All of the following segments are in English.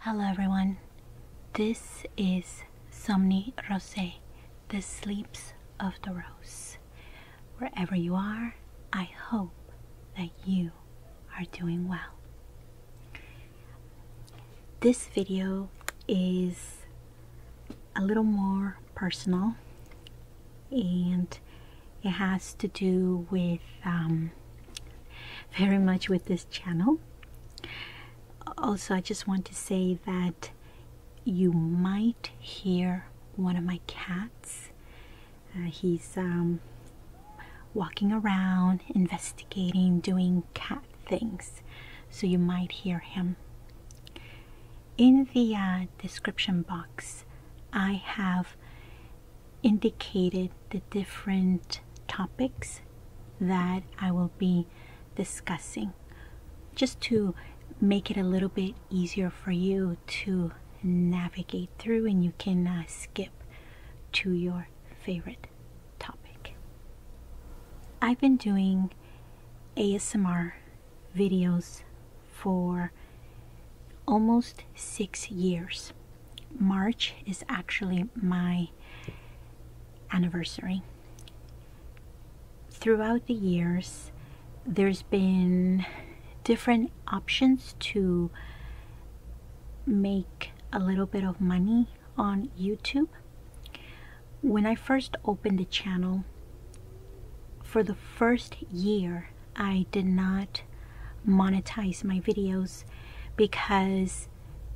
Hello, everyone. This is Somni Rosé, the sleeps of the rose. Wherever you are, I hope that you are doing well. This video is a little more personal and it has to do with um, very much with this channel also i just want to say that you might hear one of my cats uh, he's um, walking around investigating doing cat things so you might hear him in the uh, description box i have indicated the different topics that I will be discussing just to make it a little bit easier for you to navigate through and you can uh, skip to your favorite topic. I've been doing ASMR videos for almost six years. March is actually my anniversary. Throughout the years, there's been different options to make a little bit of money on YouTube. When I first opened the channel, for the first year, I did not monetize my videos because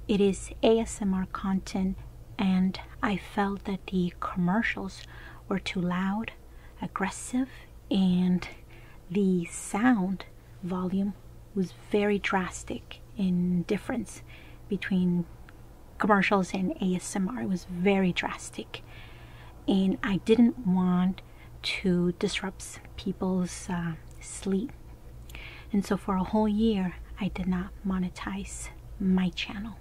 it is ASMR content and I felt that the commercials were too loud, aggressive, and the sound volume was very drastic in difference between commercials and ASMR. It was very drastic. And I didn't want to disrupt people's uh, sleep. And so for a whole year, I did not monetize my channel.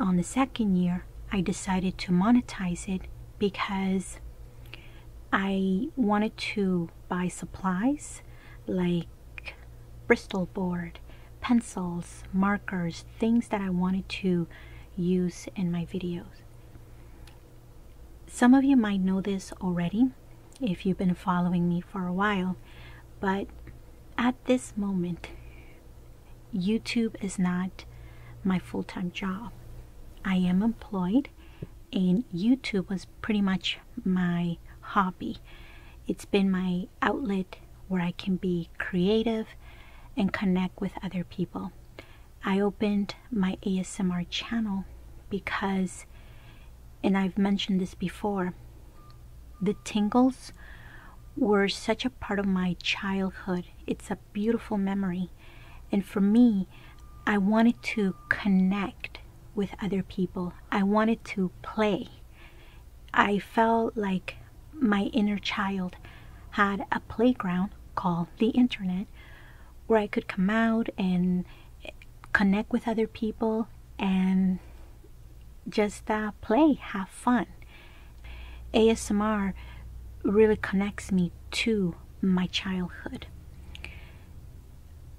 On the second year, I decided to monetize it because I wanted to buy supplies like Bristol board, pencils, markers, things that I wanted to use in my videos. Some of you might know this already if you've been following me for a while, but at this moment, YouTube is not my full time job. I am employed, and YouTube was pretty much my hobby. It's been my outlet where I can be creative and connect with other people. I opened my ASMR channel because, and I've mentioned this before, the tingles were such a part of my childhood. It's a beautiful memory. And for me, I wanted to connect with other people, I wanted to play. I felt like my inner child had a playground called the internet where I could come out and connect with other people and just uh, play, have fun. ASMR really connects me to my childhood.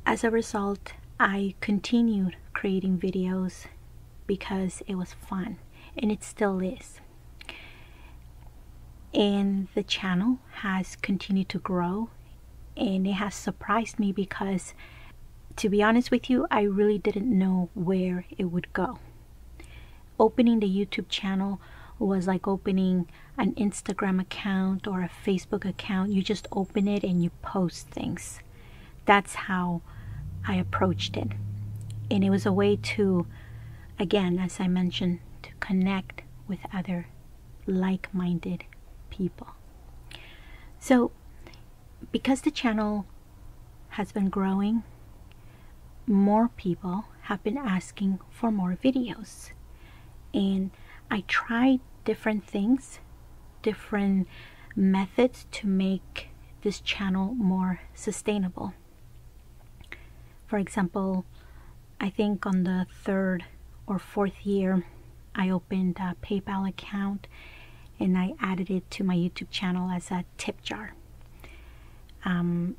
As a result, I continued creating videos because it was fun and it still is and the channel has continued to grow and it has surprised me because to be honest with you I really didn't know where it would go opening the YouTube channel was like opening an Instagram account or a Facebook account you just open it and you post things that's how I approached it and it was a way to again as I mentioned connect with other like minded people. So, because the channel has been growing, more people have been asking for more videos. And I tried different things, different methods to make this channel more sustainable. For example, I think on the third or fourth year, I opened a PayPal account and I added it to my YouTube channel as a tip jar. Um,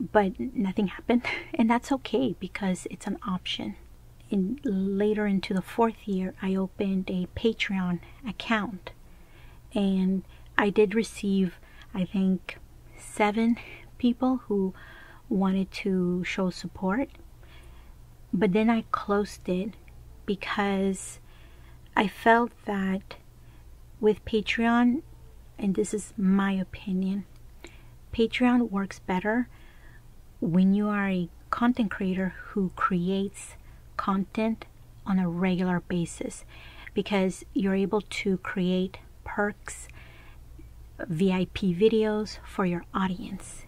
but nothing happened, and that's okay because it's an option. And later into the fourth year, I opened a Patreon account, and I did receive I think, seven people who wanted to show support. But then I closed it because I felt that with Patreon, and this is my opinion, Patreon works better when you are a content creator who creates content on a regular basis because you're able to create perks, VIP videos for your audience.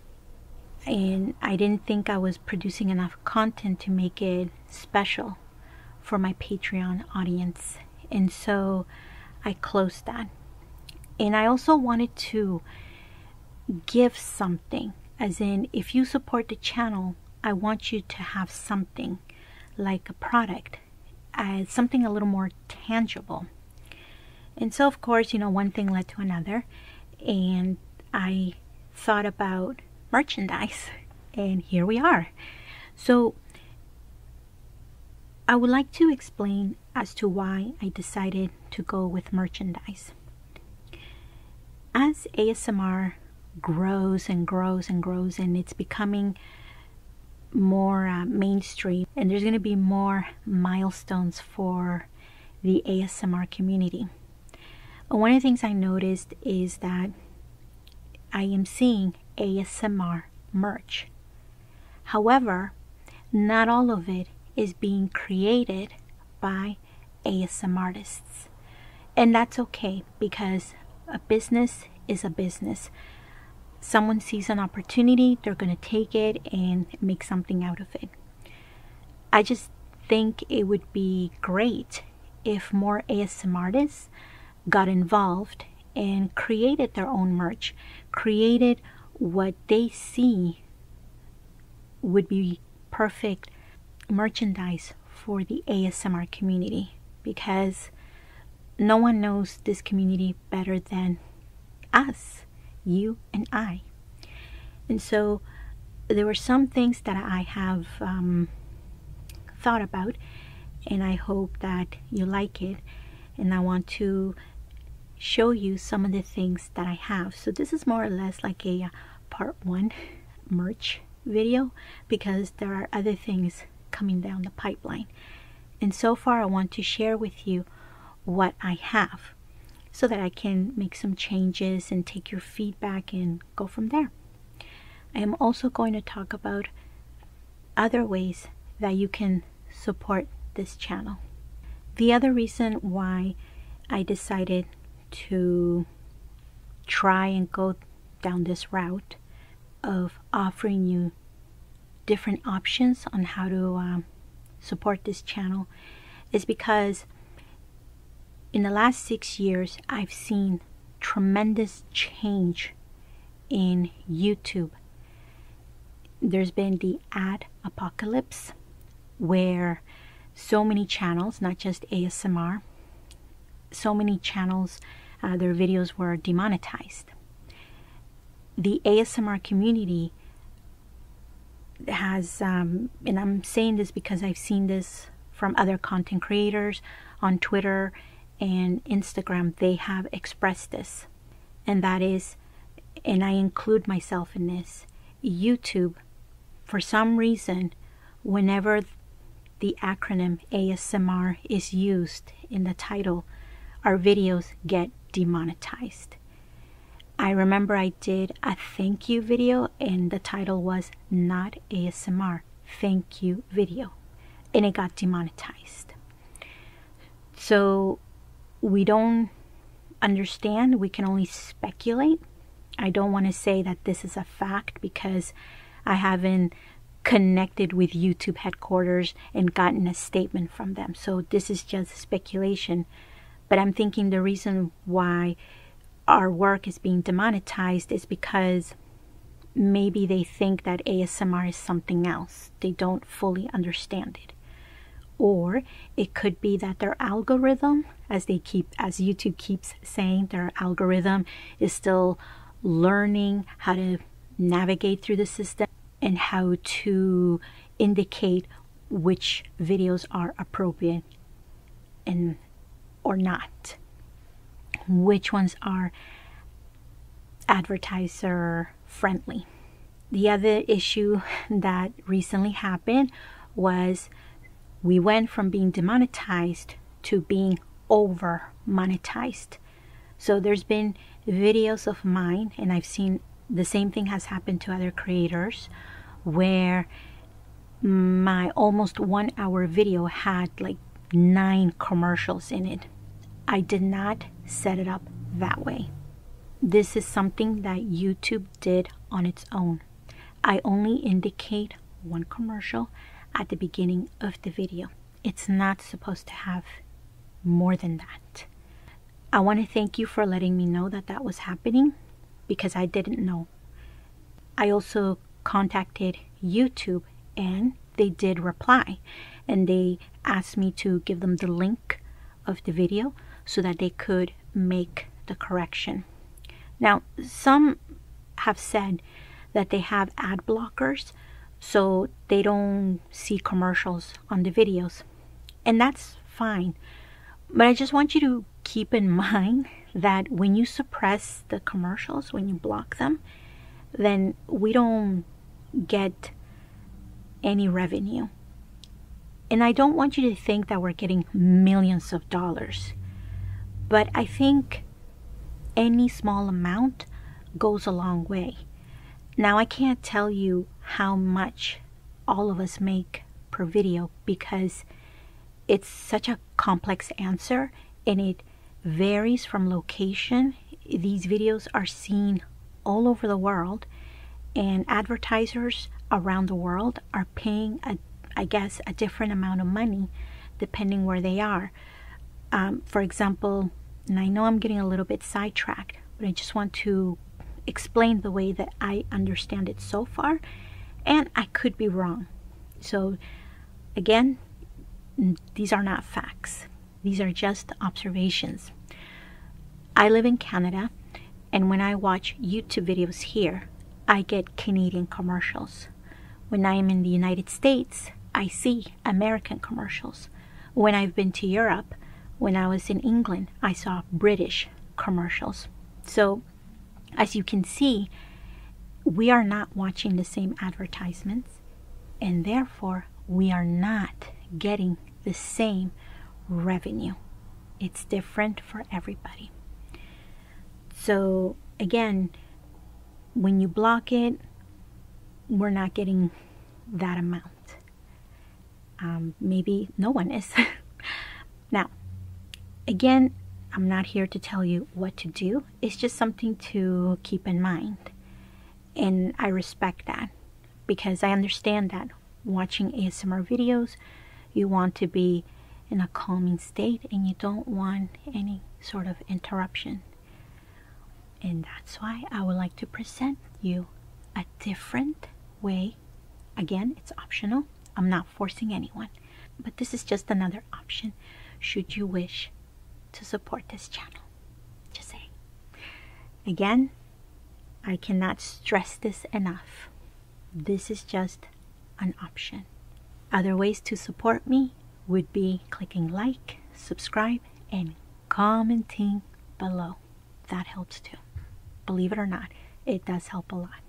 And I didn't think I was producing enough content to make it special for my Patreon audience. And so I closed that. And I also wanted to give something, as in, if you support the channel, I want you to have something like a product something a little more tangible. And so, of course, you know, one thing led to another, and I thought about merchandise, and here we are. So, I would like to explain as to why I decided to go with merchandise. As ASMR grows and grows and grows, and it's becoming more uh, mainstream and there's going to be more milestones for the ASMR community. One of the things I noticed is that I am seeing ASMR merch. However, not all of it is being created by ASMR artists. And that's okay because a business is a business someone sees an opportunity, they're going to take it and make something out of it. I just think it would be great if more ASMR artists got involved and created their own merch, created what they see would be perfect merchandise for the ASMR community because no one knows this community better than us, you and I. And so there were some things that I have um, thought about, and I hope that you like it. And I want to show you some of the things that I have. So this is more or less like a uh, part one merch video because there are other things coming down the pipeline. And so far, I want to share with you what I have so that I can make some changes and take your feedback and go from there. I am also going to talk about other ways that you can support this channel. The other reason why I decided to try and go down this route of offering you different options on how to um, support this channel is because in the last six years I've seen tremendous change in YouTube. There's been the ad apocalypse where so many channels, not just ASMR, so many channels, uh, their videos were demonetized the ASMR community has, um, and I'm saying this because I've seen this from other content creators on Twitter and Instagram, they have expressed this. And that is, and I include myself in this, YouTube, for some reason, whenever the acronym ASMR is used, in the title, our videos get demonetized. I remember I did a thank you video and the title was Not ASMR Thank You Video and it got demonetized. So we don't understand, we can only speculate. I don't want to say that this is a fact because I haven't connected with YouTube headquarters and gotten a statement from them. So this is just speculation. But I'm thinking the reason why our work is being demonetized is because maybe they think that ASMR is something else. They don't fully understand it. Or it could be that their algorithm, as they keep as YouTube keeps saying, their algorithm is still learning how to navigate through the system and how to indicate which videos are appropriate and or not which ones are advertiser friendly the other issue that recently happened was we went from being demonetized to being over monetized so there's been videos of mine, and I've seen the same thing has happened to other creators where my almost one hour video had like nine commercials in it. I did not set it up that way. This is something that YouTube did on its own. I only indicate one commercial at the beginning of the video it's not supposed to have more than that. I want to thank you for letting me know that that was happening because I didn't know. I also contacted YouTube and they did reply and they asked me to give them the link of the video so that they could make the correction. Now, some have said that they have ad blockers so they don't see commercials on the videos. And that's fine. But I just want you to keep in mind that when you suppress the commercials, when you block them, then we don't get any revenue. And I don't want you to think that we're getting millions of dollars. But I think any small amount goes a long way. Now, I can't tell you how much all of us make per video because it's such a complex answer and it varies from location. These videos are seen all over the world, and advertisers around the world are paying, a, I guess, a different amount of money depending where they are. Um, for example, and I know I'm getting a little bit sidetracked, but I just want to explain the way that I understand it so far, and I could be wrong. So, again, these are not facts, these are just observations. I live in Canada, and when I watch YouTube videos here, I get Canadian commercials. When I am in the United States, I see American commercials. When I've been to Europe, when I was in England, I saw British commercials. So, as you can see, we are not watching the same advertisements, and therefore, we are not getting the same revenue. It's different for everybody. So, again, when you block it, we're not getting that amount. Um, maybe no one is. now, again, I'm not here to tell you what to do. It's just something to keep in mind. And I respect that because I understand that watching ASMR videos, you want to be in a calming state and you don't want any sort of interruption. And that's why I would like to present you a different way. Again, it's optional. I'm not forcing anyone, but this is just another option should you wish to support this channel. Just say. Again, I cannot stress this enough. This is just an option. Other ways to support me would be clicking like, subscribe, and commenting below. That helps too. Believe it or not, it does help a lot.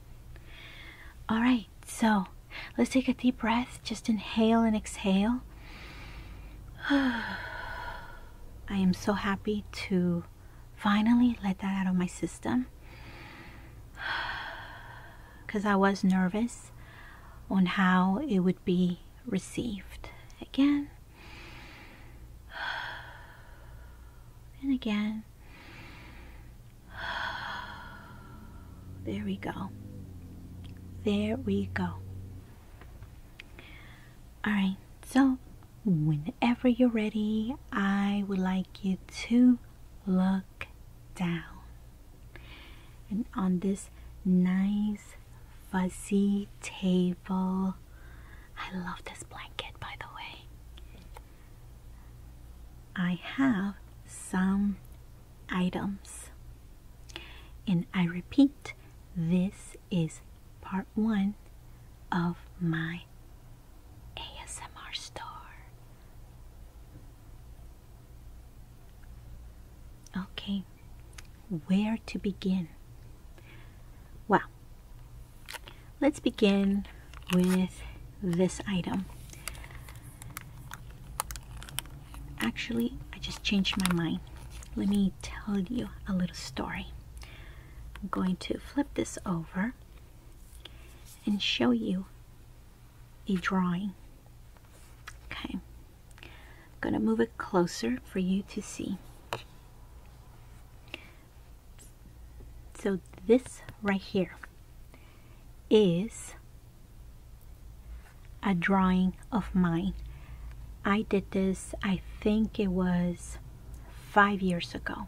All right, so let's take a deep breath. Just inhale and exhale. I am so happy to finally let that out of my system because I was nervous on how it would be received again and again. There we go. There we go. All right, so whenever you're ready, I would like you to look down and on this nice fuzzy table I love this blanket by the way I have some items and I repeat this is part one of my ASMR store Okay, where to begin? Well, let's begin with this item. Actually, I just changed my mind. Let me tell you a little story. I'm going to flip this over and show you a drawing Okay, I'm going to move it closer for you to see. So this right here is a drawing of mine. I did this, I think it was five years ago.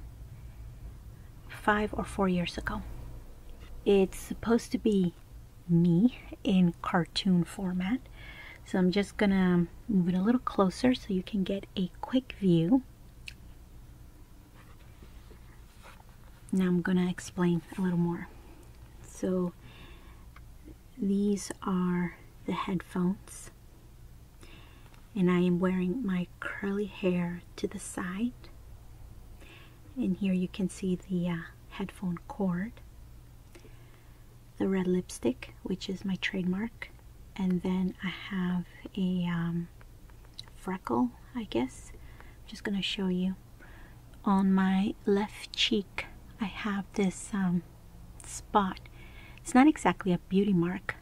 Five or four years ago. It's supposed to be me in cartoon format. So I'm just gonna move it a little closer so you can get a quick view. Now I'm gonna explain a little more. So these are the headphones and I am wearing my curly hair to the side and here you can see the uh, headphone cord the red lipstick, which is my trademark, and then I have a um, freckle, I guess. I'm just gonna show you on my left cheek. I have this um, spot. It's not exactly a beauty mark.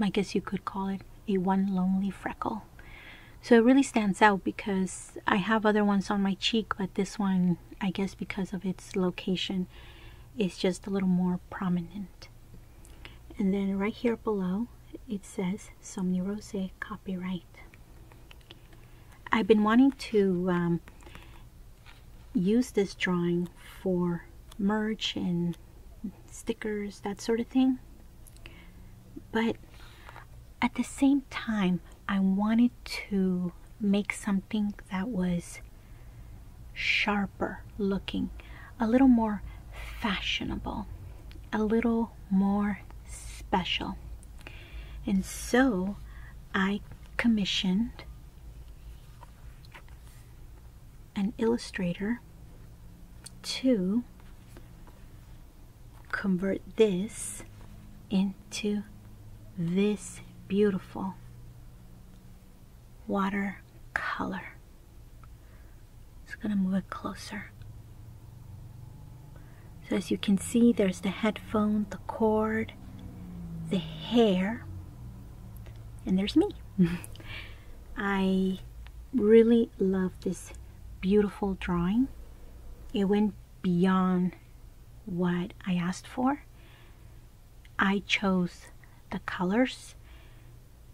I guess you could call it a one lonely freckle. So it really stands out because I have other ones on my cheek but this one I guess because of its location is just a little more prominent and then right here below it says Somnirose copyright I've been wanting to um, use this drawing for merch and stickers that sort of thing but at the same time, I wanted to make something that was sharper looking, a little more fashionable, a little more special. And so I commissioned an illustrator to convert this into this beautiful watercolor. Just gonna move it closer. So as you can see, there's the headphone, the cord, the hair, and there's me. I really love this beautiful drawing. It went beyond what I asked for. I chose the colors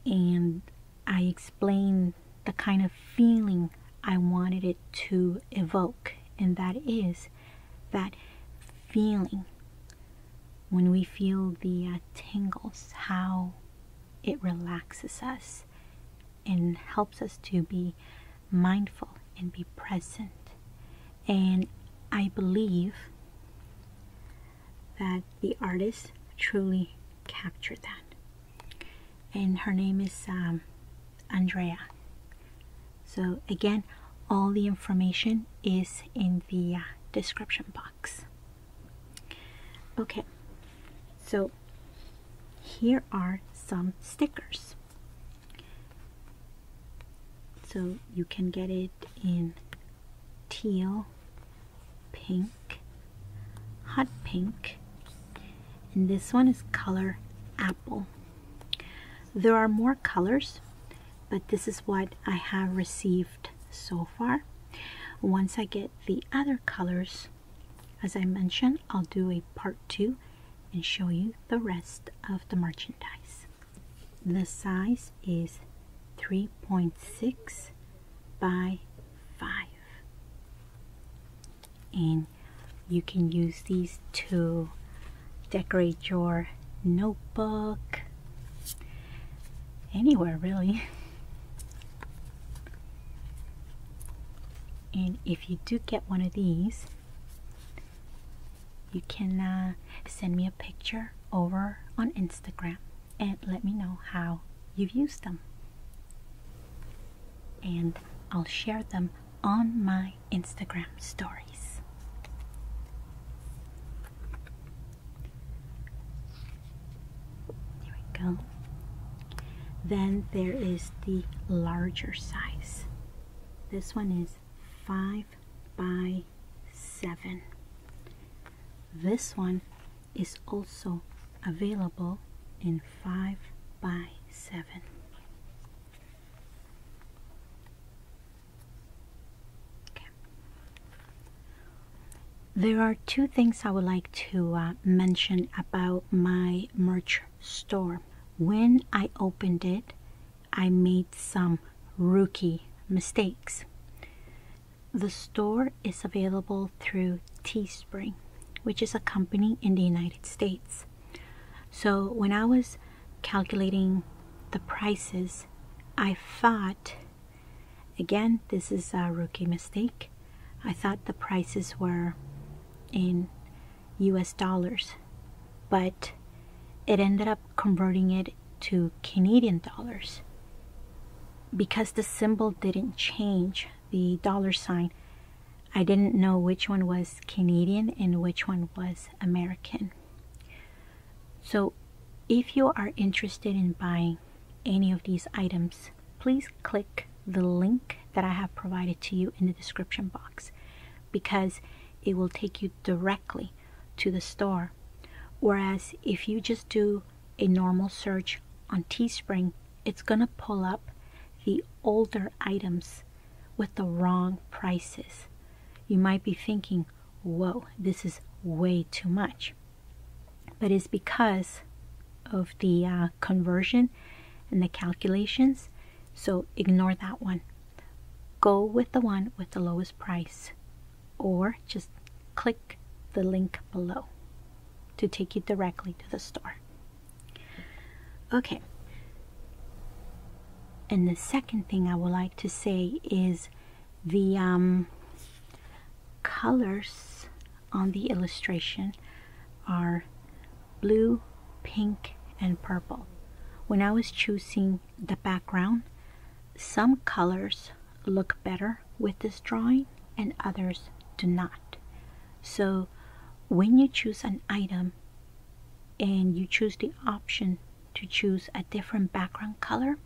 and I explained the kind of feeling I wanted it to evoke, and that is that feeling when we feel the uh, tingles, how it relaxes us and helps us to be mindful and be present. And I believe that the artist truly captured that. And her name is um, Andrea. So again, all the information is in the uh, description box. Okay, so here are some stickers. So you can get it in teal, pink, hot pink, and this one is color apple. There are more colors, but this is what I have received so far. Once I get the other colors, as I mentioned, I'll do a part two and show you the rest of the merchandise. The size is 3.6 by 5 and you can use these to decorate your notebook anywhere really and if you do get one of these you can uh, send me a picture over on Instagram and let me know how you've used them. And I'll share them on my Instagram stories. There we go. Then there is the larger size. This one is 5 by 7. This one is also available in 5 by 7. There are two things I would like to uh, mention about my merch store. When I opened it, I made some rookie mistakes. The store is available through Teespring, which is a company in the United States. So when I was calculating the prices, I thought, again, this is a rookie mistake. I thought the prices were in US dollars, but it ended up converting it to Canadian dollars. Because the symbol didn't change, the dollar sign, I didn't know which one was Canadian and which one was American. So if you are interested in buying any of these items, please click the link that I have provided to you in the description box because it will take you directly to the store. Whereas if you just do a normal search on Teespring, it's going to pull up the older items with the wrong prices. You might be thinking, whoa, this is way too much. But it's because of the uh, conversion and the calculations so ignore that one. Go with the one with the lowest price or just click the link below to take you directly to the store. Okay. And the second thing I would like to say is the um, colors on the illustration are blue, pink, and purple. When I was choosing the background, some colors look better with this drawing and others do not. So when you choose an item and you choose the option to choose a different background color,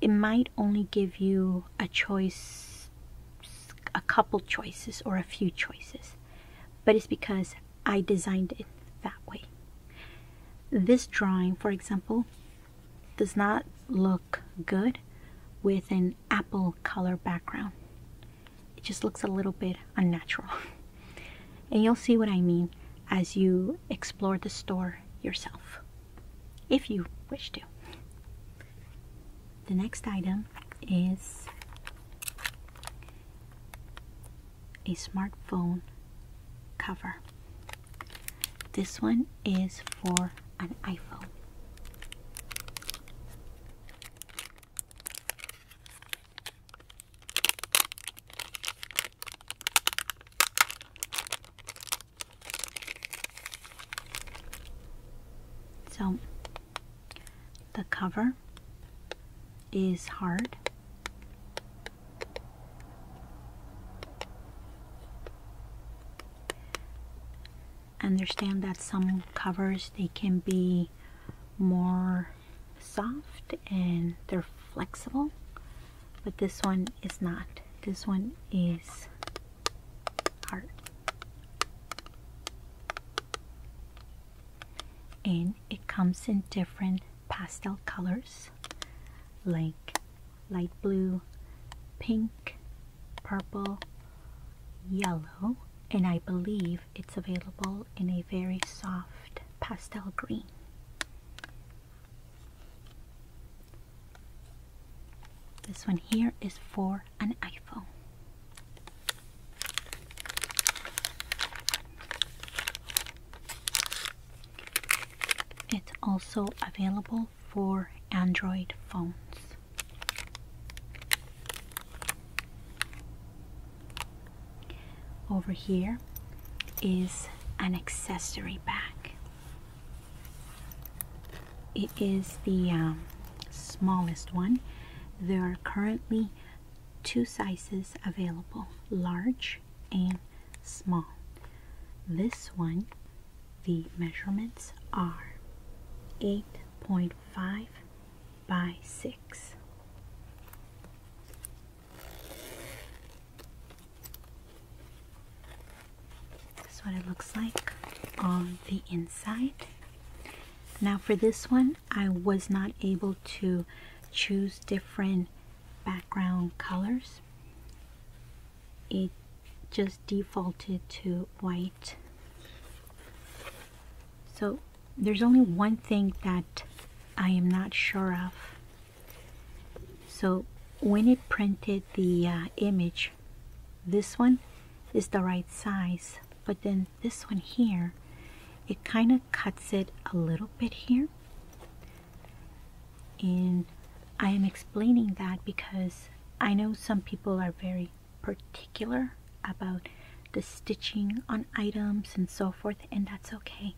it might only give you a choice, a couple choices or a few choices. But it's because I designed it that way. This drawing, for example, does not look good with an apple color background. It just looks a little bit unnatural. and you'll see what I mean as you explore the store yourself, if you wish to. The next item is a smartphone cover. This one is for an iPhone. So the cover is hard. Understand that some covers they can be more soft and they're flexible but this one is not this one is hard and it comes in different pastel colors like light blue pink purple yellow and I believe it's available in a very soft pastel green this one here is for an iPhone it's also available for Android phones. Over here is an accessory bag. It is the um, smallest one. There are currently two sizes available large and small. This one, the measurements are 8.5 by 6. This is what it looks like on the inside. Now for this one, I was not able to choose different background colors it just defaulted to white so there's only one thing that I am not sure of so when it printed the uh, image this one is the right size but then this one here it kind of cuts it a little bit here and I am explaining that because I know some people are very particular about the stitching on items and so forth and that's okay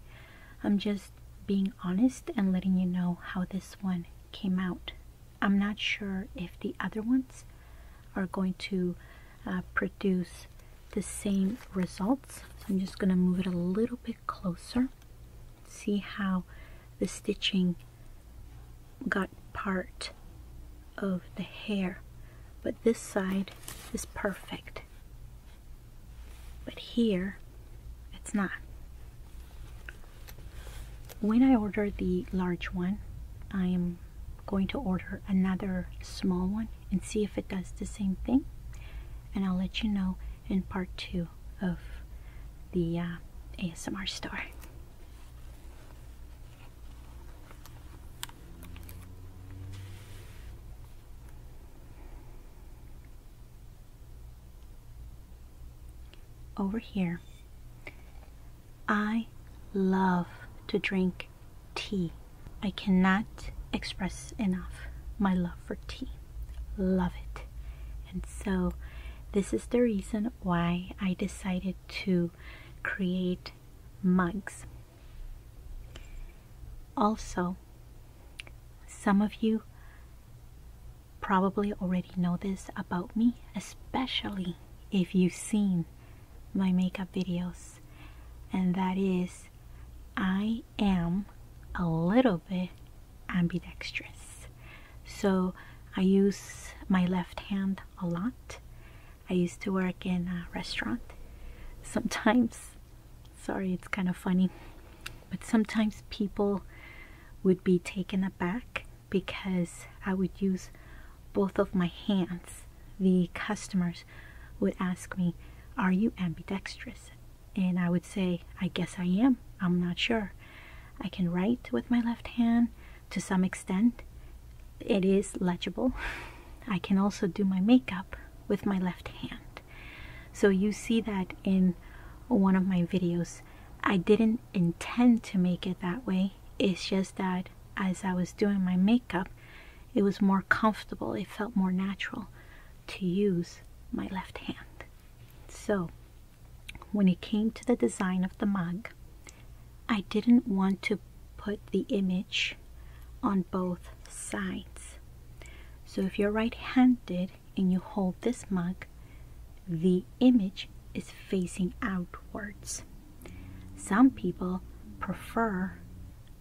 I'm just being honest and letting you know how this one came out I'm not sure if the other ones are going to uh, produce the same results. So I'm just going to move it a little bit closer. See how the stitching got part of the hair. But this side is perfect. But here, it's not. When I order the large one, I am going to order another small one and see if it does the same thing and I'll let you know in part two of the uh, ASMR store. Over here, I love to drink tea. I cannot express enough my love for tea. Love it. And so, this is the reason why I decided to create mugs. Also, some of you probably already know this about me, especially if you've seen my makeup videos and that is I am a little bit ambidextrous. So I use my left hand a lot. I used to work in a restaurant. Sometimes, sorry, it's kind of funny, but sometimes people would be taken aback because I would use both of my hands, the customers would ask me, Are you ambidextrous? And I would say, I guess I am. I'm not sure. I can write with my left hand to some extent, it is legible. I can also do my makeup with my left hand. So you see that in one of my videos. I didn't intend to make it that way. It's just that as I was doing my makeup, it was more comfortable, it felt more natural to use my left hand. So, when it came to the design of the mug, I didn't want to put the image on both sides. So if you're right-handed and you hold this mug, the image is facing outwards. Some people prefer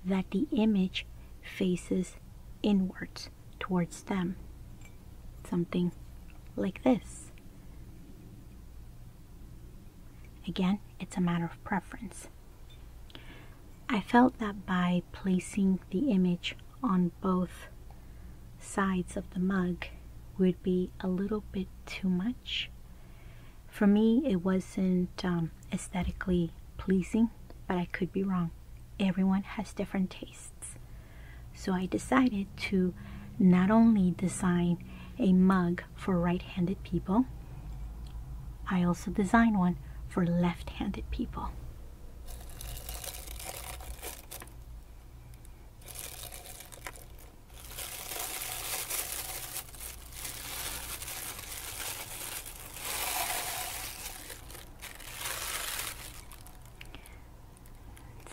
that the image faces inwards towards them. Something like this. Again, it's a matter of preference. I felt that by placing the image on both sides of the mug would be a little bit too much for me, it wasn't um, aesthetically pleasing, but I could be wrong. Everyone has different tastes. So I decided to not only design a mug for right-handed people, I also designed one for left-handed people.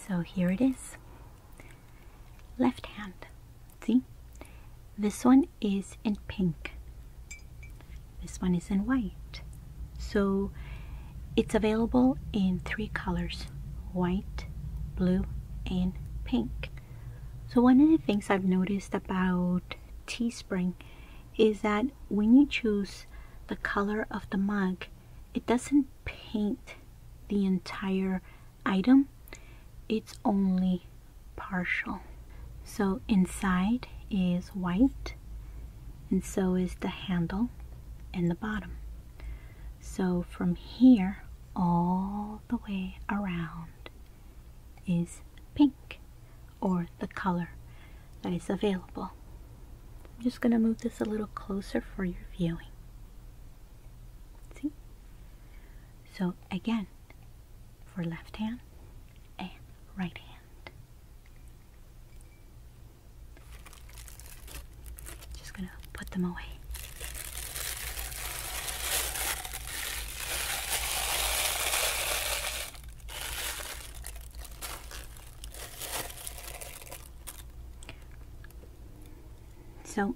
So here it is. Left hand. See? This one is in pink. This one is in white. So it's available in three colors. White, blue, and pink. So one of the things I've noticed about Teespring is that when you choose the color of the mug, it doesn't paint the entire item. It's only partial. So inside is white and so is the handle and the bottom. So from here all the way around is pink or the color that is available. I'm just going to move this a little closer for your viewing. See? So again, for left hand and right hand. Just going to put them away. So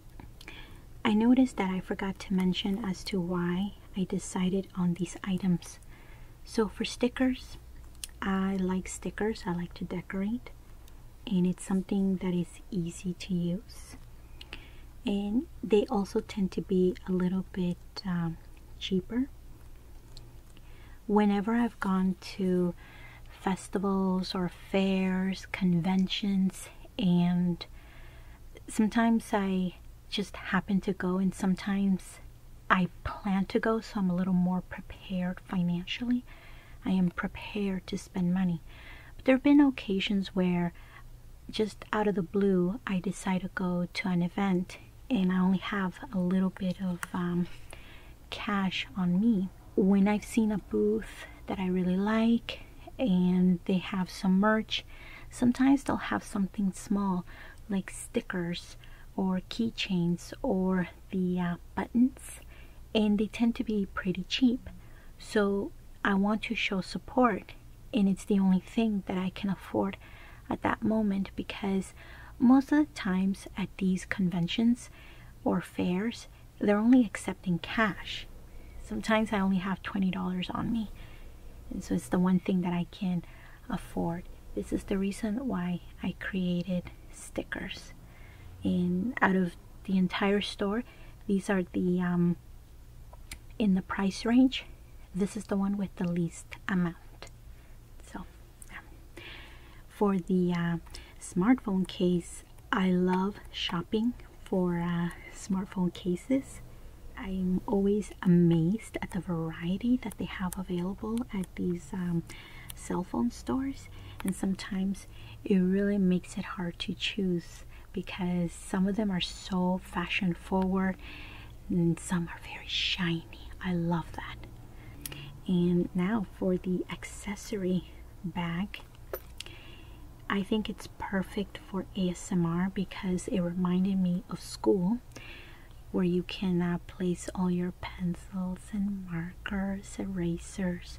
I noticed that I forgot to mention as to why I decided on these items. So for stickers, I like stickers, I like to decorate and it's something that is easy to use and they also tend to be a little bit um, cheaper whenever i've gone to festivals or fairs conventions and sometimes i just happen to go and sometimes i plan to go so i'm a little more prepared financially i am prepared to spend money but there have been occasions where just out of the blue, I decide to go to an event and I only have a little bit of um, cash on me. When I've seen a booth that I really like and they have some merch, sometimes they'll have something small like stickers or keychains or the uh, buttons and they tend to be pretty cheap. So I want to show support and it's the only thing that I can afford at that moment because most of the times at these conventions or fairs, they're only accepting cash. Sometimes I only have $20 on me, and so it's the one thing that I can afford. This is the reason why I created stickers. And out of the entire store, these are the um, in the price range this is the one with the least amount so um, for the uh, smartphone case i love shopping for uh, smartphone cases i'm always amazed at the variety that they have available at these um, cell phone stores and sometimes it really makes it hard to choose because some of them are so fashion forward and some are very shiny. I love that. And now for the accessory bag. I think it's perfect for ASMR because it reminded me of school where you can uh, place all your pencils and markers, erasers,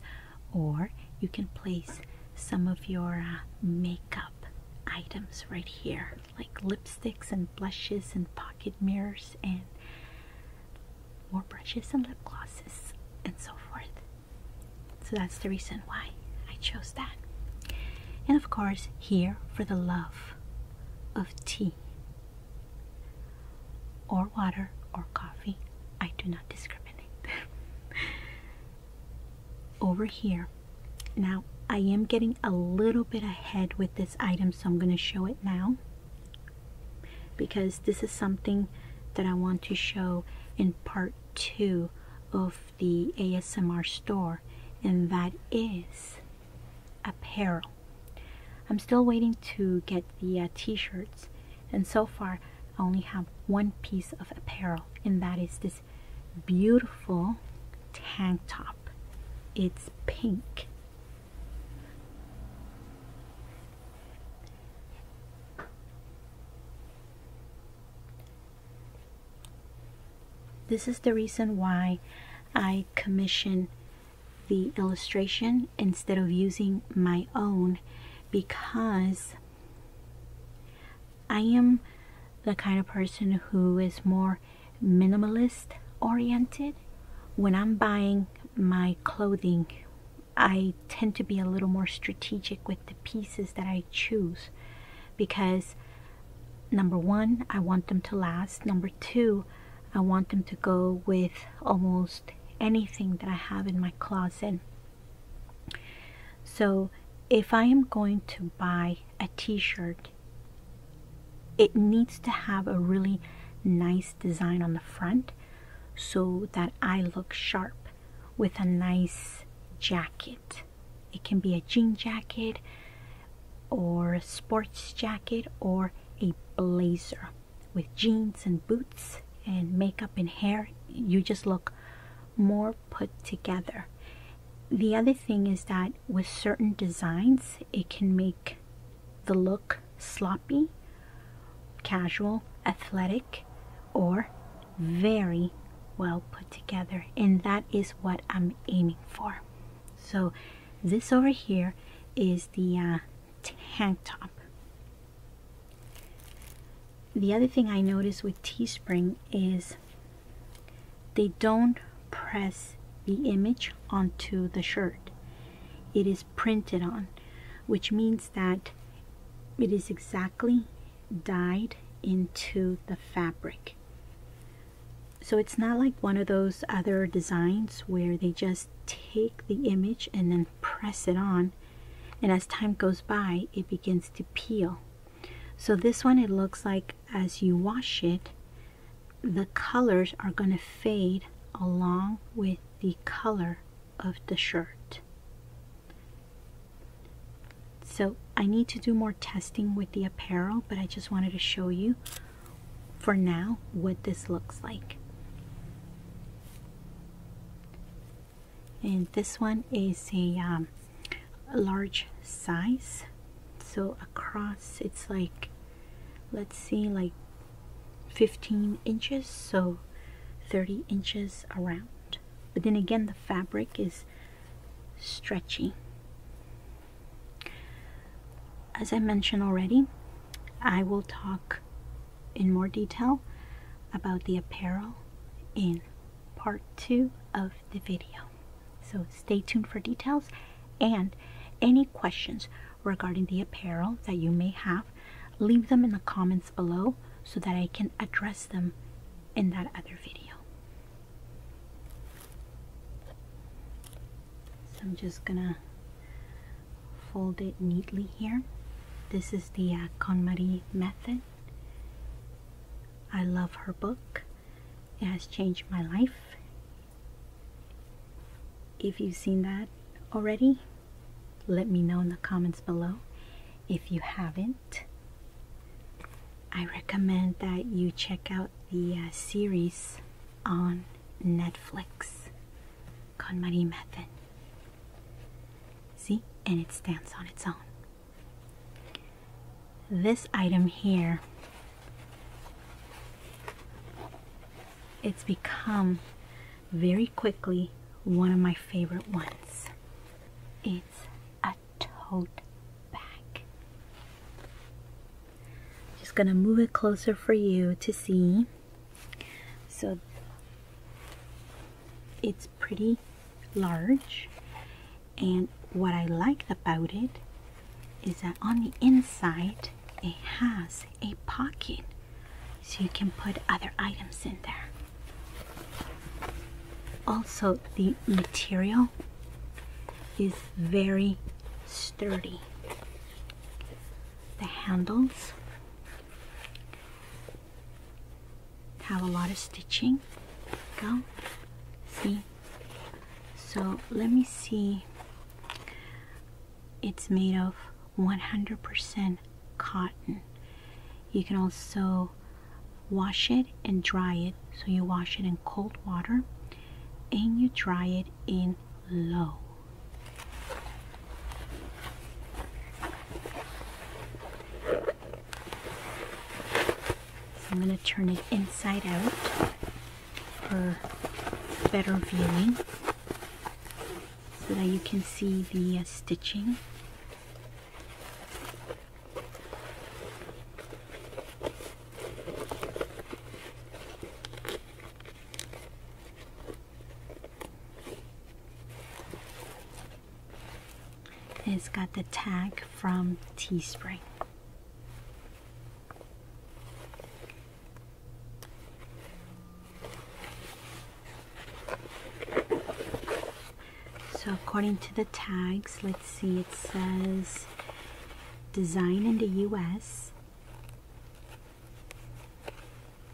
or you can place some of your uh, makeup items right here like lipsticks and blushes and pocket mirrors and more brushes and lip glosses and so forth. So that's the reason why I chose that. And of course, here for the love of tea or water or coffee, I do not discriminate. over here. Now, I am getting a little bit ahead with this item, so I'm going to show it now because this is something that I want to show in part two of the ASMR store, and that is apparel. I'm still waiting to get the uh, t shirts, and so far I only have one piece of apparel, and that is this beautiful tank top. It's pink. This is the reason why I commission the illustration instead of using my own because I am the kind of person who is more minimalist oriented. When I'm buying my clothing, I tend to be a little more strategic with the pieces that I choose because number one, I want them to last. Number two, I want them to go with almost anything that I have in my closet. So if I am going to buy a t-shirt, it needs to have a really nice design on the front so that I look sharp with a nice jacket. It can be a jean jacket or a sports jacket or a blazer with jeans and boots and makeup and hair. You just look more put together. The other thing is that with certain designs, it can make the look sloppy, casual, athletic, or very well put together. And that is what I'm aiming for. So, this over here is the uh, tank top the other thing I noticed with Teespring is they don't press the image onto the shirt. It is printed on, which means that it is exactly dyed into the fabric. So it's not like one of those other designs where they just take the image and then press it on. And as time goes by, it begins to peel. So this one it looks like as you wash it the colors are going to fade along with the color of the shirt. So I need to do more testing with the apparel, but I just wanted to show you for now what this looks like and this one is um, a large size so across it's like let's see like 15 inches so 30 inches around but then again the fabric is stretchy as I mentioned already I will talk in more detail about the apparel in part two of the video. So stay tuned for details and any questions regarding the apparel that you may have, leave them in the comments below so that I can address them in that other video. So I'm just gonna fold it neatly here. This is the uh, KonMari method I love her book. It has changed my life. If you've seen that already, let me know in the comments below. If you haven't, I recommend that you check out the uh, series on Netflix, Con Marie Method. See? And it stands on its own this item here it's become very quickly one of my favorite ones it's a tote bag just gonna move it closer for you to see so it's pretty large and what I liked about it is that on the inside it has a pocket so you can put other items in there. Also the material is very sturdy. The handles have a lot of stitching go see so let me see it's made of 100% cotton you can also wash it and dry it so you wash it in cold water and you dry it in low I'm going to turn it inside out for better viewing so that you can see the uh, stitching. It's got the tag from Teespring. So according to the tags, let's see, it says design in the US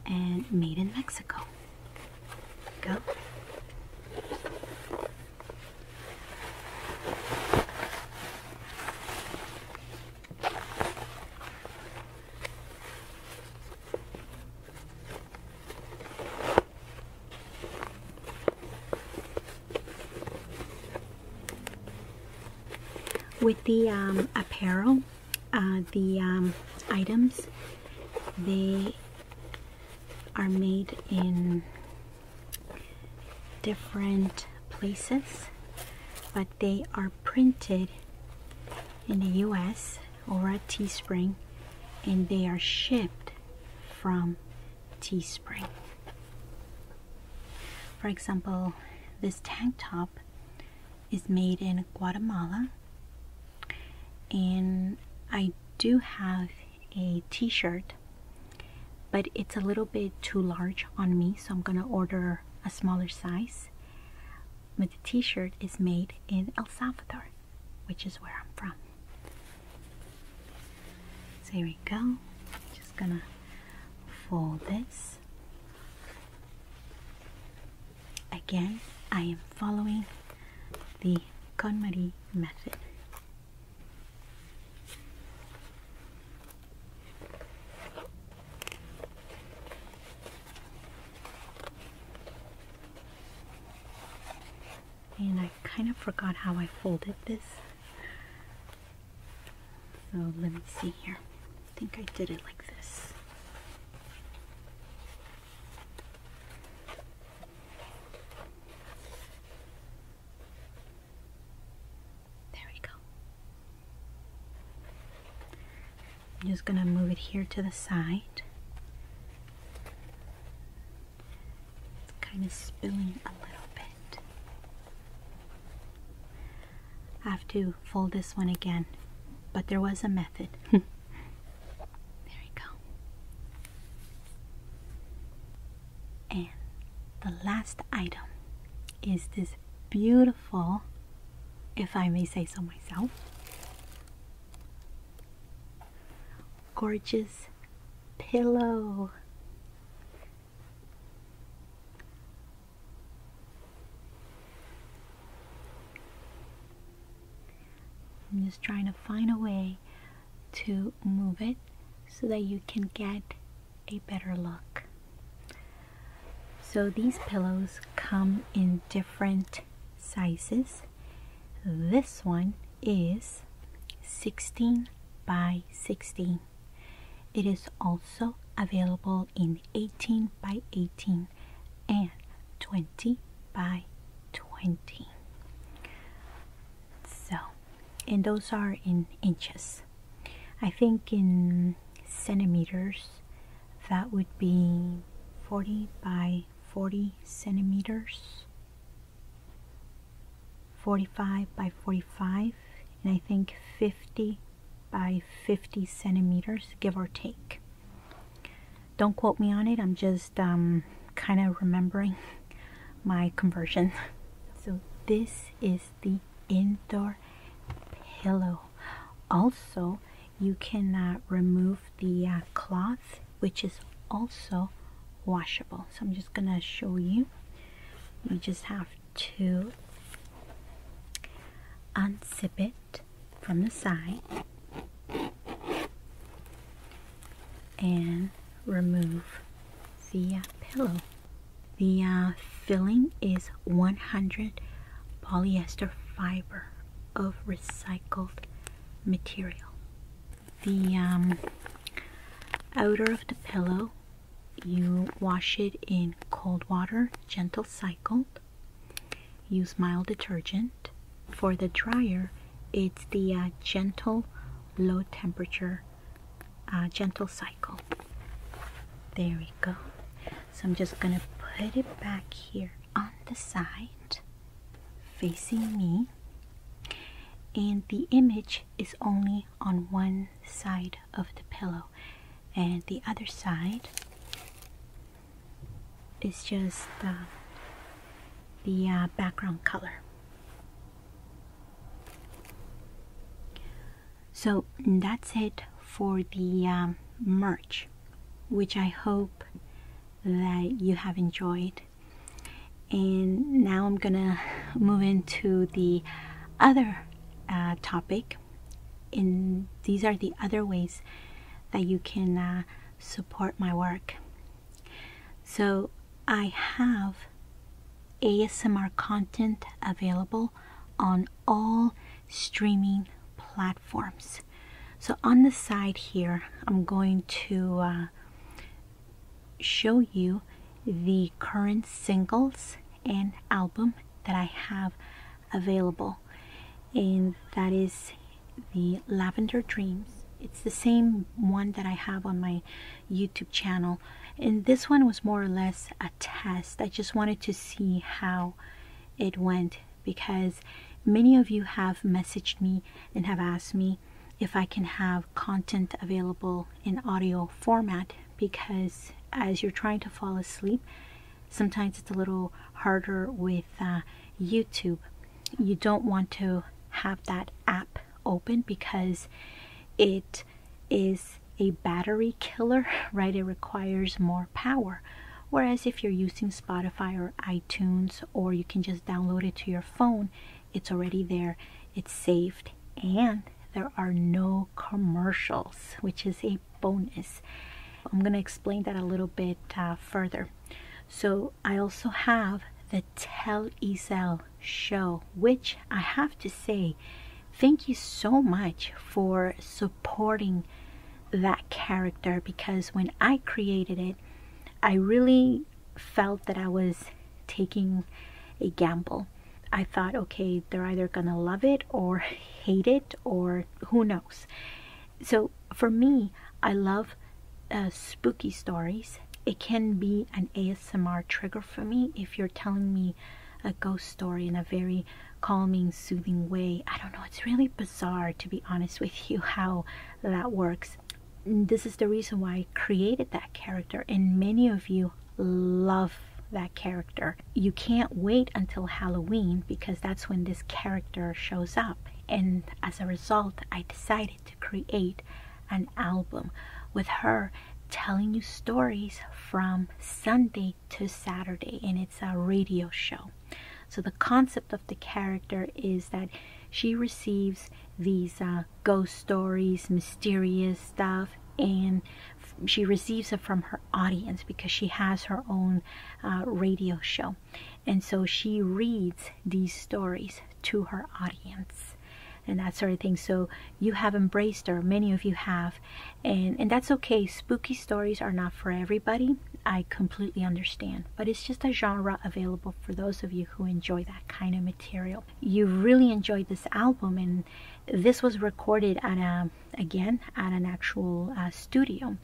and made in Mexico. With the um, apparel, uh, the um, items, they are made in different places but they are printed in the US or at Teespring and they are shipped from Teespring. For example, this tank top is made in Guatemala and I do have a t-shirt but it's a little bit too large on me so I'm gonna order a smaller size but the t-shirt is made in El Salvador which is where I'm from so here we go just gonna fold this again I am following the KonMari method. And I kind of forgot how I folded this. So let me see here. I think I did it like this. There we go. I'm just going to move it here to the side. kind of spilling a little bit. I have to fold this one again, but there was a method. there we go. And the last item is this beautiful, if I may say so myself, gorgeous pillow. I'm just trying to find a way to move it so that you can get a better look. So these pillows come in different sizes. This one is 16 by 16. It is also available in 18 by 18 and 20 by 20 so and those are in inches I think in centimeters that would be 40 by 40 centimeters 45 by 45 and I think 50 by 50 centimeters give or take don't quote me on it. I'm just um, kind of remembering my conversion. So this is the indoor pillow. Also, you can remove the uh, cloth, which is also washable. So I'm just gonna show you. You just have to unzip it from the side and remove the pillow. The uh, filling is 100 polyester fiber of recycled material. The um, outer of the pillow, you wash it in cold water, gentle cycle. Use mild detergent for the dryer, it's the uh, gentle low temperature uh, gentle cycle. There we go. So I'm just going to put it back here on the side facing me. And the image is only on one side of the pillow. And the other side is just uh, the background color. So that's it for the um, merch, which I hope that you have enjoyed. And now I'm gonna move into the other uh, topic. And these are the other ways that you can uh, support my work. So I have ASMR content available on all streaming platforms. So on the side here, I'm going to uh, show you the current singles and album that I have available. And that is the Lavender Dreams. It's the same one that I have on my YouTube channel. And this one was more or less a test. I just wanted to see how it went because many of you have messaged me and have asked me if I can have content available in audio format because as you're trying to fall asleep, sometimes it's a little harder with uh, YouTube you don't want to have that app open because it is a battery killer, right? It requires more power. Whereas if you're using Spotify or iTunes, or you can just download it to your phone, it's already there, it's saved, and there are no commercials, which is a bonus. I'm going to explain that a little bit uh, further. So I also have the Tell Ezel show, which I have to say, thank you so much for supporting that character because when I created it, I really felt that I was taking a gamble. I thought, okay, they're either gonna love it or hate it or who knows. So for me, I love uh, spooky stories. It can be an ASMR trigger for me if you're telling me a ghost story in a very calming, soothing way. I don't know, it's really bizarre to be honest with you how that works. This is the reason why I created that character, and many of you love that character. You can't wait until Halloween because that's when this character shows up. And as a result, I decided create an album with her telling you stories from Sunday to Saturday, and it's a radio show. So, the concept of the character is that she receives these uh, ghost stories, mysterious stuff, and she receives it from her audience because she has her own uh, radio show and so she reads these stories to her audience and that sort of thing. So you have embraced her, many of you have, and, and that's okay. Spooky stories are not for everybody. I completely understand, but it's just a genre available for those of you who enjoy that kind of material. You really enjoyed this album, and this was recorded at a, again, at an actual uh, studio.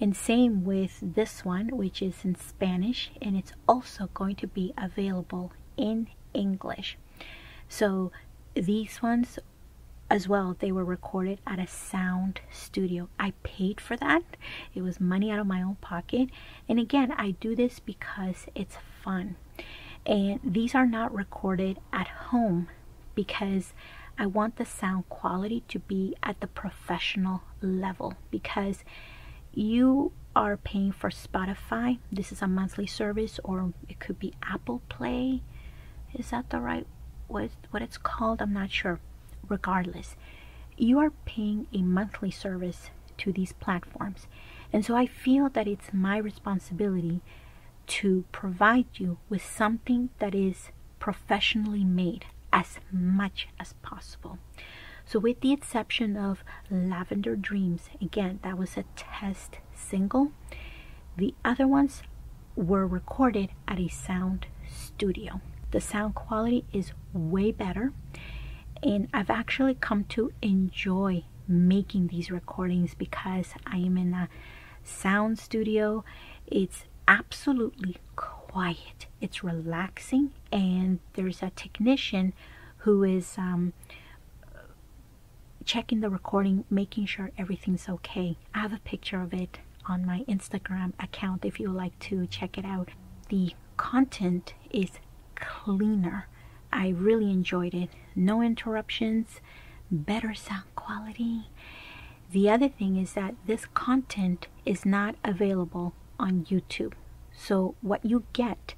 And same with this one, which is in Spanish and it's also going to be available in English. So these ones as well, they were recorded at a sound studio. I paid for that. It was money out of my own pocket. And again, I do this because it's fun. And these are not recorded at home because I want the sound quality to be at the professional level because you are paying for Spotify. This is a monthly service, or it could be Apple Play. Is that the right what what it's called? I'm not sure. Regardless, you are paying a monthly service to these platforms, and so I feel that it's my responsibility to provide you with something that is professionally made as much as possible. So, with the exception of Lavender Dreams, again, that was a test single, the other ones were recorded at a sound studio. The sound quality is way better, and I've actually come to enjoy making these recordings because I am in a sound studio. It's absolutely quiet, it's relaxing, and there's a technician who is um, checking the recording, making sure everything's okay. I have a picture of it on my Instagram account if you would like to check it out. The content is cleaner. I really enjoyed it. No interruptions, better sound quality. The other thing is that this content is not available on YouTube. So what you get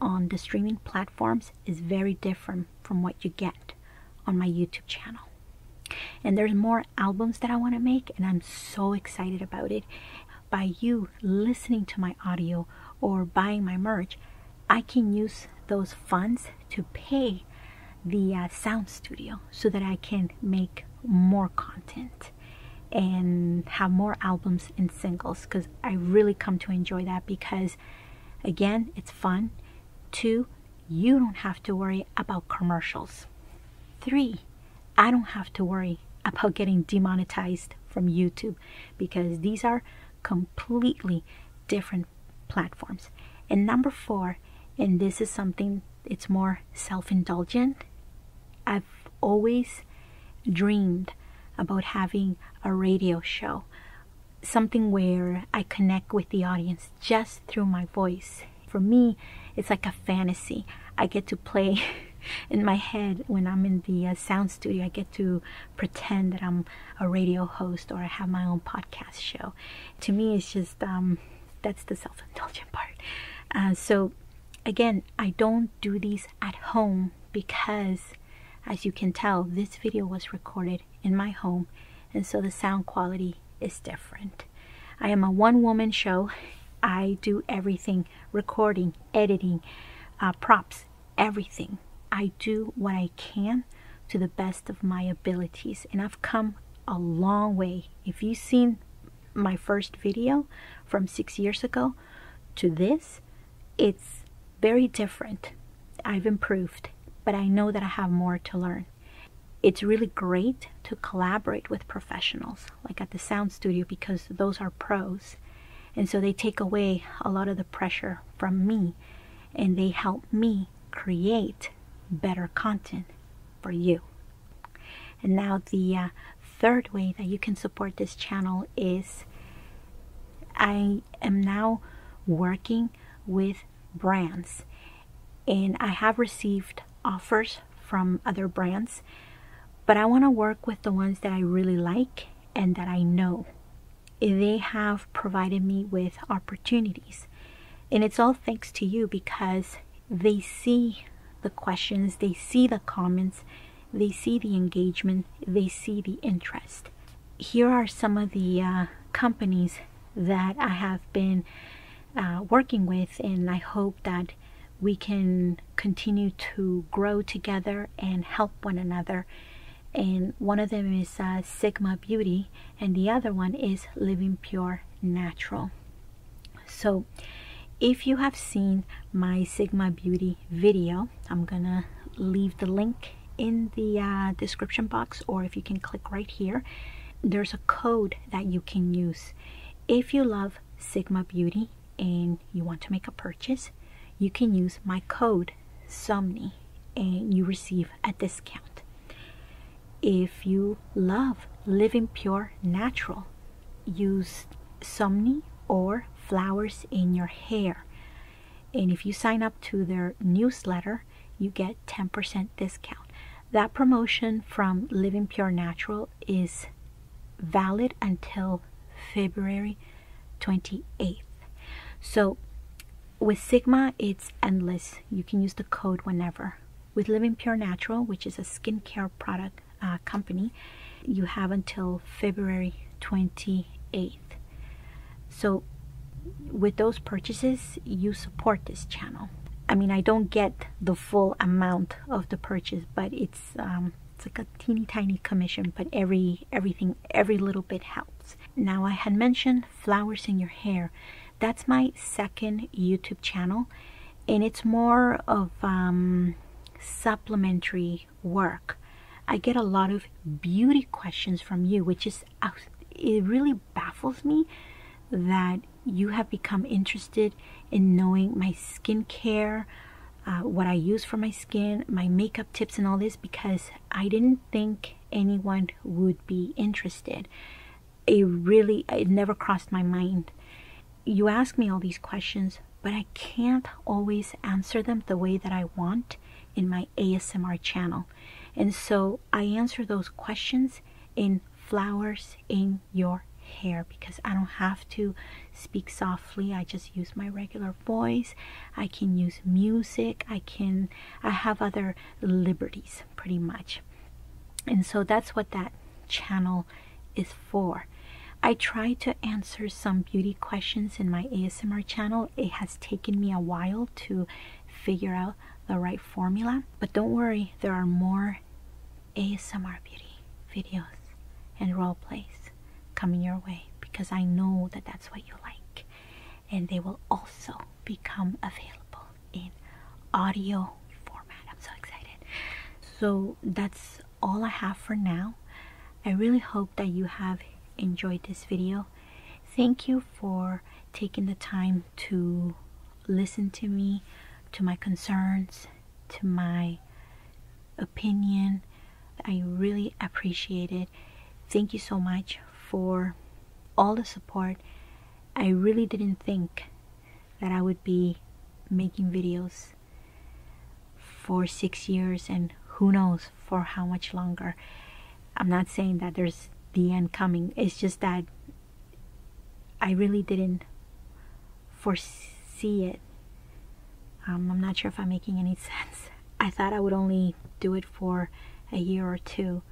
on the streaming platforms is very different from what you get on my YouTube channel. And there's more albums that I want to make and I'm so excited about it. By you listening to my audio or buying my merch, I can use those funds to pay the uh, sound studio so that I can make more content and have more albums and singles because I really come to enjoy that because again it's fun two you don't have to worry about commercials three I don't have to worry about getting demonetized from YouTube because these are completely different platforms and number four and this is something it's more self-indulgent I have always dreamed about having a radio show, something where I connect with the audience just through my voice. For me, it's like a fantasy. I get to play in my head when I'm in the uh, sound studio. I get to pretend that I'm a radio host or I have my own podcast show. To me, it's just um, that's the self indulgent part. Uh, so, again, I don't do these at home because as you can tell this video was recorded in my home and so the sound quality is different. I am a one-woman show. I do everything, recording, editing, uh, props, everything. I do what I can to the best of my abilities and I've come a long way. If you've seen my first video from six years ago to this, it's very different. I've improved, but I know that I have more to learn. It's really great to collaborate with professionals, like at the sound studio, because those are pros. And so they take away a lot of the pressure from me and they help me create better content for you. And now the uh, third way that you can support this channel is I am now working with brands and I have received offers from other brands but I want to work with the ones that I really like and that I know. They have provided me with opportunities and it's all thanks to you because they see the questions, they see the comments, they see the engagement, they see the interest. Here are some of the uh, companies that I have been uh, working with, and I hope that we can continue to grow together and help one another. And one of them is uh, Sigma Beauty, and the other one is Living Pure Natural so if you have seen my sigma beauty video i'm gonna leave the link in the uh, description box or if you can click right here there's a code that you can use if you love sigma beauty and you want to make a purchase you can use my code somni and you receive a discount if you love living pure natural use somni or flowers in your hair. And if you sign up to their newsletter, you get 10% discount. That promotion from Living Pure Natural is valid until February 28th. So with Sigma, it's endless. You can use the code whenever. With Living Pure Natural, which is a skincare product, uh, company you have until February 28th so with those purchases you support this channel I mean I don't get the full amount of the purchase but it's um, it's like a teeny tiny commission but every everything every little bit helps now I had mentioned flowers in your hair that's my second YouTube channel and it's more of um, supplementary work. I get a lot of beauty questions from you, which is uh, it really baffles me that you have become interested in knowing my skincare, uh, what I use for my skin, my makeup tips, and all this because I didn't think anyone would be interested. It really, it never crossed my mind you ask me all these questions, but I can't always answer them the way that I want in my ASMR channel. And so I answer those questions in flowers in your hair because I don't have to speak softly. I just use my regular voice. I can use music. I can I have other liberties pretty much. And so that's what that channel is for. I try to answer some beauty questions in my ASMR channel. It has taken me a while to figure out the right formula, but don't worry, there are more ASMR beauty videos and role plays coming your way because I know that that's what you like, and they will also become available in audio format. I'm so excited. So that's all I have for now. I really hope that you have enjoyed this video. Thank you for taking the time to listen to me, to my concerns, to my opinion. I really appreciate it. Thank you so much for all the support. I really didn't think that I would be making videos for six years and who knows for how much longer. I'm not saying that there's the end coming, it's just that I really didn't foresee it. Um, I'm not sure if I'm making any sense. I thought I would only do it for a year or two,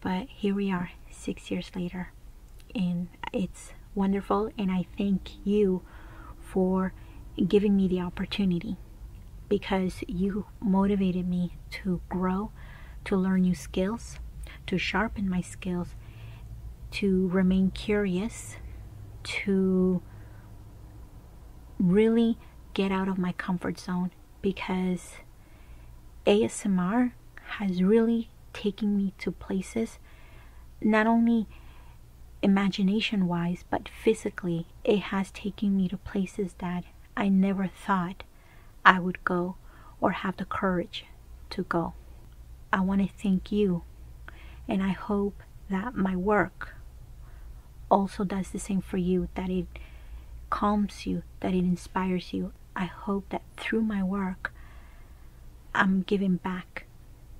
but here we are, six years later and it's wonderful and I thank you for giving me the opportunity because you motivated me to grow, to learn new skills, to sharpen my skills, to remain curious, to really get out of my comfort zone because ASMR has really taking me to places not only imagination wise but physically it has taken me to places that i never thought i would go or have the courage to go i want to thank you and i hope that my work also does the same for you that it calms you that it inspires you i hope that through my work I'm giving back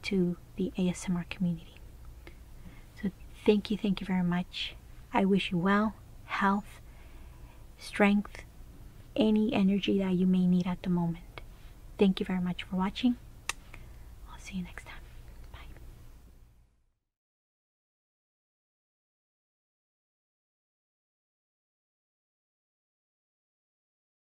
to the ASMR community. So thank you, thank you very much. I wish you well, health, strength, any energy that you may need at the moment. Thank you very much for watching. I'll see you next time.